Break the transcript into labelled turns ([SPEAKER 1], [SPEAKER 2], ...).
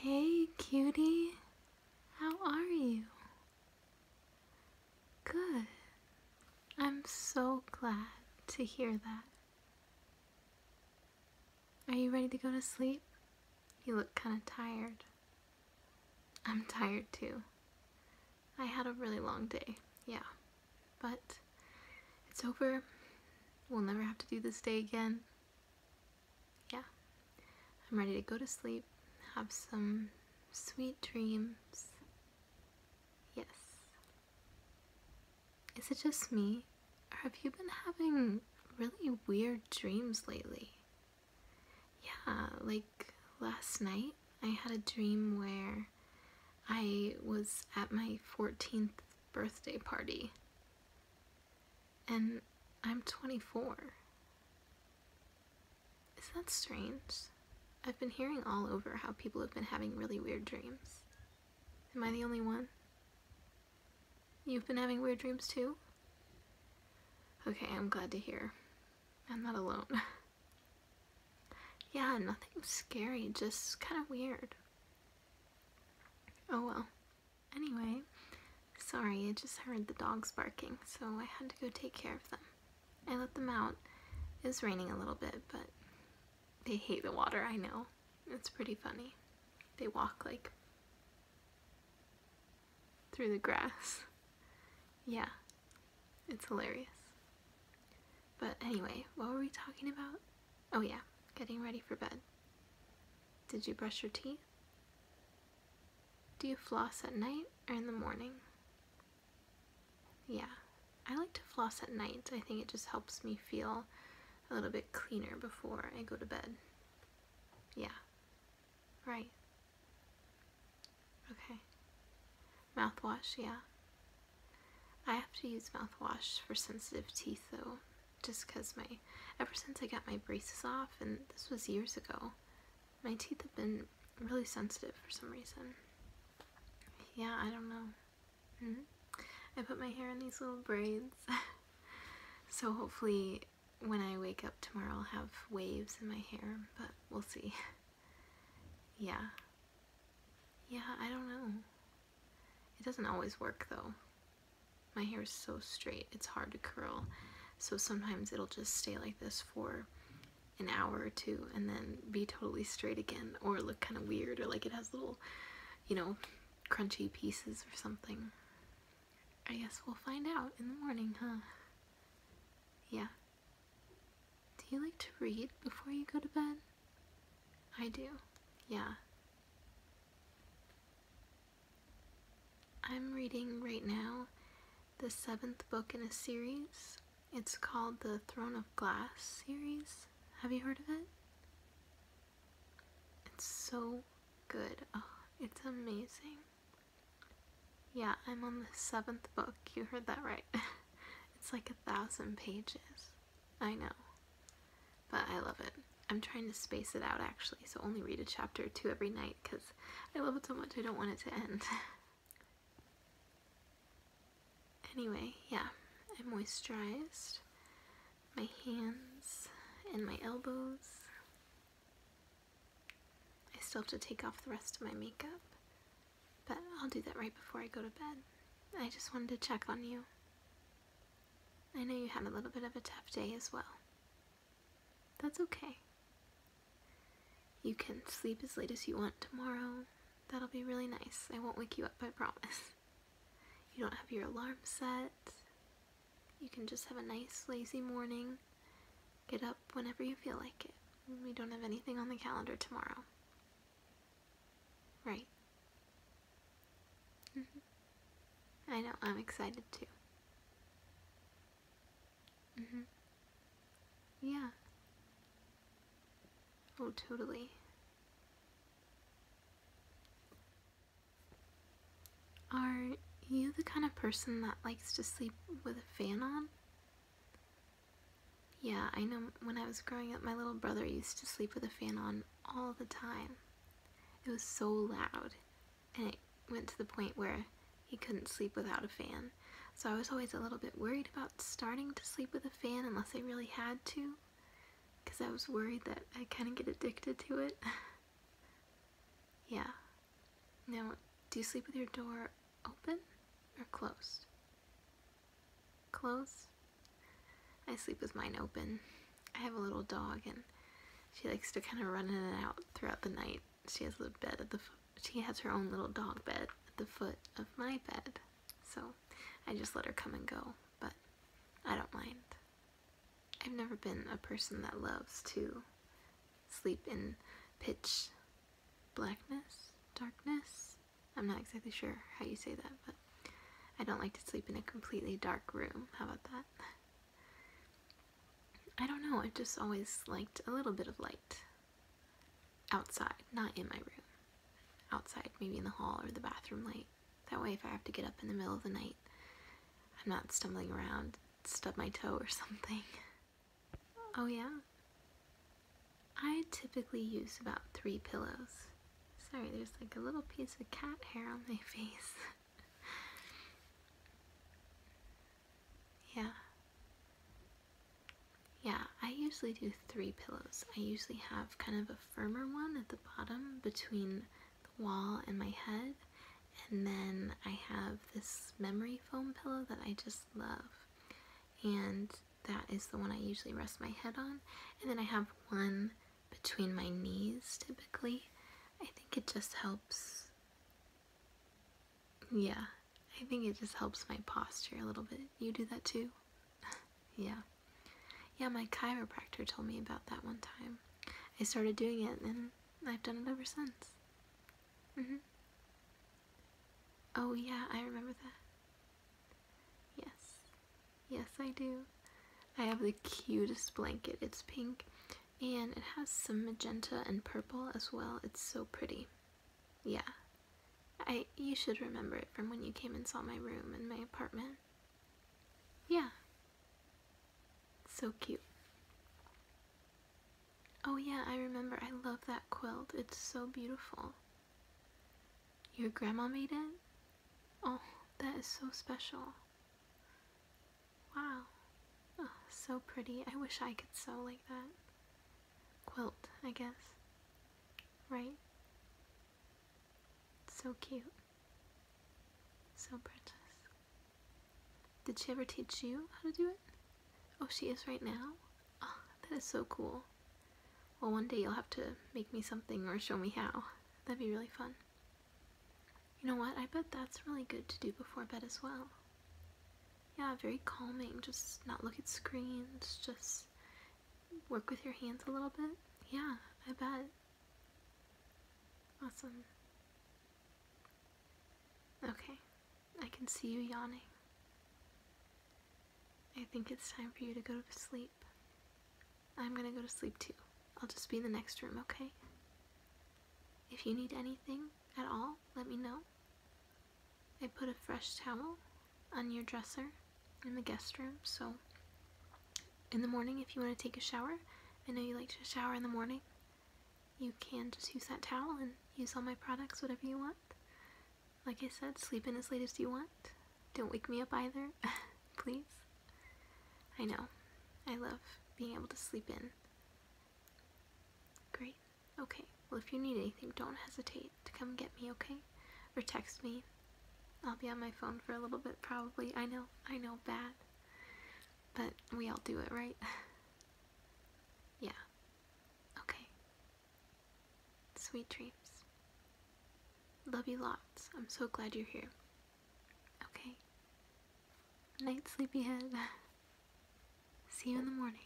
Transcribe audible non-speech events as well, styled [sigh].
[SPEAKER 1] Hey, cutie, how are you? Good. I'm so glad to hear that. Are you ready to go to sleep? You look kind of tired. I'm tired too. I had a really long day, yeah. But it's over. We'll never have to do this day again yeah, I'm ready to go to sleep, have some sweet dreams. Yes. Is it just me, or have you been having really weird dreams lately? Yeah, like last night I had a dream where I was at my 14th birthday party. And I'm 24. Is that strange? I've been hearing all over how people have been having really weird dreams. Am I the only one? You've been having weird dreams too? Okay, I'm glad to hear. I'm not alone. [laughs] yeah, nothing scary, just kind of weird. Oh well. Anyway, sorry, I just heard the dogs barking, so I had to go take care of them. I let them out. It's raining a little bit, but they hate the water, I know. It's pretty funny. They walk like through the grass. Yeah, it's hilarious. But anyway, what were we talking about? Oh yeah, getting ready for bed. Did you brush your teeth? Do you floss at night or in the morning? Yeah, I like to floss at night. I think it just helps me feel a little bit cleaner before I go to bed. Yeah, right. Okay. Mouthwash, yeah. I have to use mouthwash for sensitive teeth though, just because my, ever since I got my braces off, and this was years ago, my teeth have been really sensitive for some reason. Yeah, I don't know. Mm-hmm. I put my hair in these little braids. [laughs] so hopefully when I wake up tomorrow I'll have waves in my hair, but we'll see. [laughs] yeah. Yeah, I don't know. It doesn't always work though. My hair is so straight, it's hard to curl. So sometimes it'll just stay like this for an hour or two and then be totally straight again or look kind of weird or like it has little, you know, crunchy pieces or something. I guess we'll find out in the morning, huh? Yeah. Do you like to read before you go to bed? I do, yeah. I'm reading right now the seventh book in a series. It's called the Throne of Glass series. Have you heard of it? It's so good. Oh, it's amazing. Yeah, I'm on the seventh book. You heard that right. [laughs] [laughs] It's like a thousand pages. I know. But I love it. I'm trying to space it out actually, so only read a chapter or two every night because I love it so much I don't want it to end. [laughs] anyway, yeah, I moisturized my hands and my elbows. I still have to take off the rest of my makeup, but I'll do that right before I go to bed. I just wanted to check on you. I know you had a little bit of a tough day as well. That's okay. You can sleep as late as you want tomorrow. That'll be really nice. I won't wake you up, I promise. You don't have your alarm set. You can just have a nice lazy morning Get up whenever you feel like it. We don't have anything on the calendar tomorrow. Right. Mm-hmm. I know, I'm excited too. Mm-hmm. Yeah. Oh, totally. Are you the kind of person that likes to sleep with a fan on? Yeah, I know when I was growing up, my little brother used to sleep with a fan on all the time. It was so loud, and it went to the point where he couldn't sleep without a fan. So I was always a little bit worried about starting to sleep with a fan unless I really had to, because I was worried that i kind of get addicted to it. [laughs] yeah, now, do you sleep with your door open or closed? Closed? I sleep with mine open. I have a little dog and she likes to kind of run in and out throughout the night. She has a bed at the she has her own little dog bed at the foot of my bed. So, I just let her come and go, but I don't mind. I've never been a person that loves to sleep in pitch blackness, darkness. I'm not exactly sure how you say that, but I don't like to sleep in a completely dark room. How about that? I don't know, I've just always liked a little bit of light outside, not in my room. Outside, maybe in the hall or the bathroom light. That way if I have to get up in the middle of the night, I'm not stumbling around stub my toe or something. Oh yeah? I typically use about three pillows. Sorry, there's like a little piece of cat hair on my [laughs] face. yeah. Yeah, I usually do three pillows. I usually have kind of a firmer one at the bottom between wall and my head. And then I have this memory foam pillow that I just love. And that is the one I usually rest my head on. And then I have one between my knees typically. I think it just helps. Yeah, I think it just helps my posture a little bit. You do that too? [laughs] yeah. Yeah, my chiropractor told me about that one time. I started doing it and I've done it ever since. Mm hmm. Oh, yeah, I remember that. Yes. Yes, I do. I have the cutest blanket. It's pink and it has some magenta and purple as well. It's so pretty. Yeah. I you should remember it from when you came and saw my room and my apartment. Yeah. So cute. Oh, yeah, I remember. I love that quilt. It's so beautiful. Your grandma made it? Oh, that is so special. Wow. Oh, so pretty. I wish I could sew like that. Quilt, I guess. Right? So cute. So precious. Did she ever teach you how to do it? Oh, she is right now? Oh, that is so cool. Well, one day you'll have to make me something or show me how. That'd be really fun. You know what? I bet that's really good to do before bed as well. Yeah, very calming. Just not look at screens. Just work with your hands a little bit. Yeah, I bet. Awesome. Okay, I can see you yawning. I think it's time for you to go to sleep. I'm gonna go to sleep too. I'll just be in the next room, okay? If you need anything at all, let me know. I put a fresh towel on your dresser in the guest room. So, in the morning, if you want to take a shower, I know you like to shower in the morning. You can just use that towel and use all my products, whatever you want. Like I said, sleep in as late as you want. Don't wake me up either, [laughs] please. I know. I love being able to sleep in. Great. Okay. Well, if you need anything, don't hesitate to come get me, okay? Or text me. I'll be on my phone for a little bit, probably. I know, I know, bad. But we all do it, right? [laughs] yeah. Okay. Sweet dreams. Love you lots. I'm so glad you're here. Okay. Night, sleepyhead. [laughs] See you in the morning.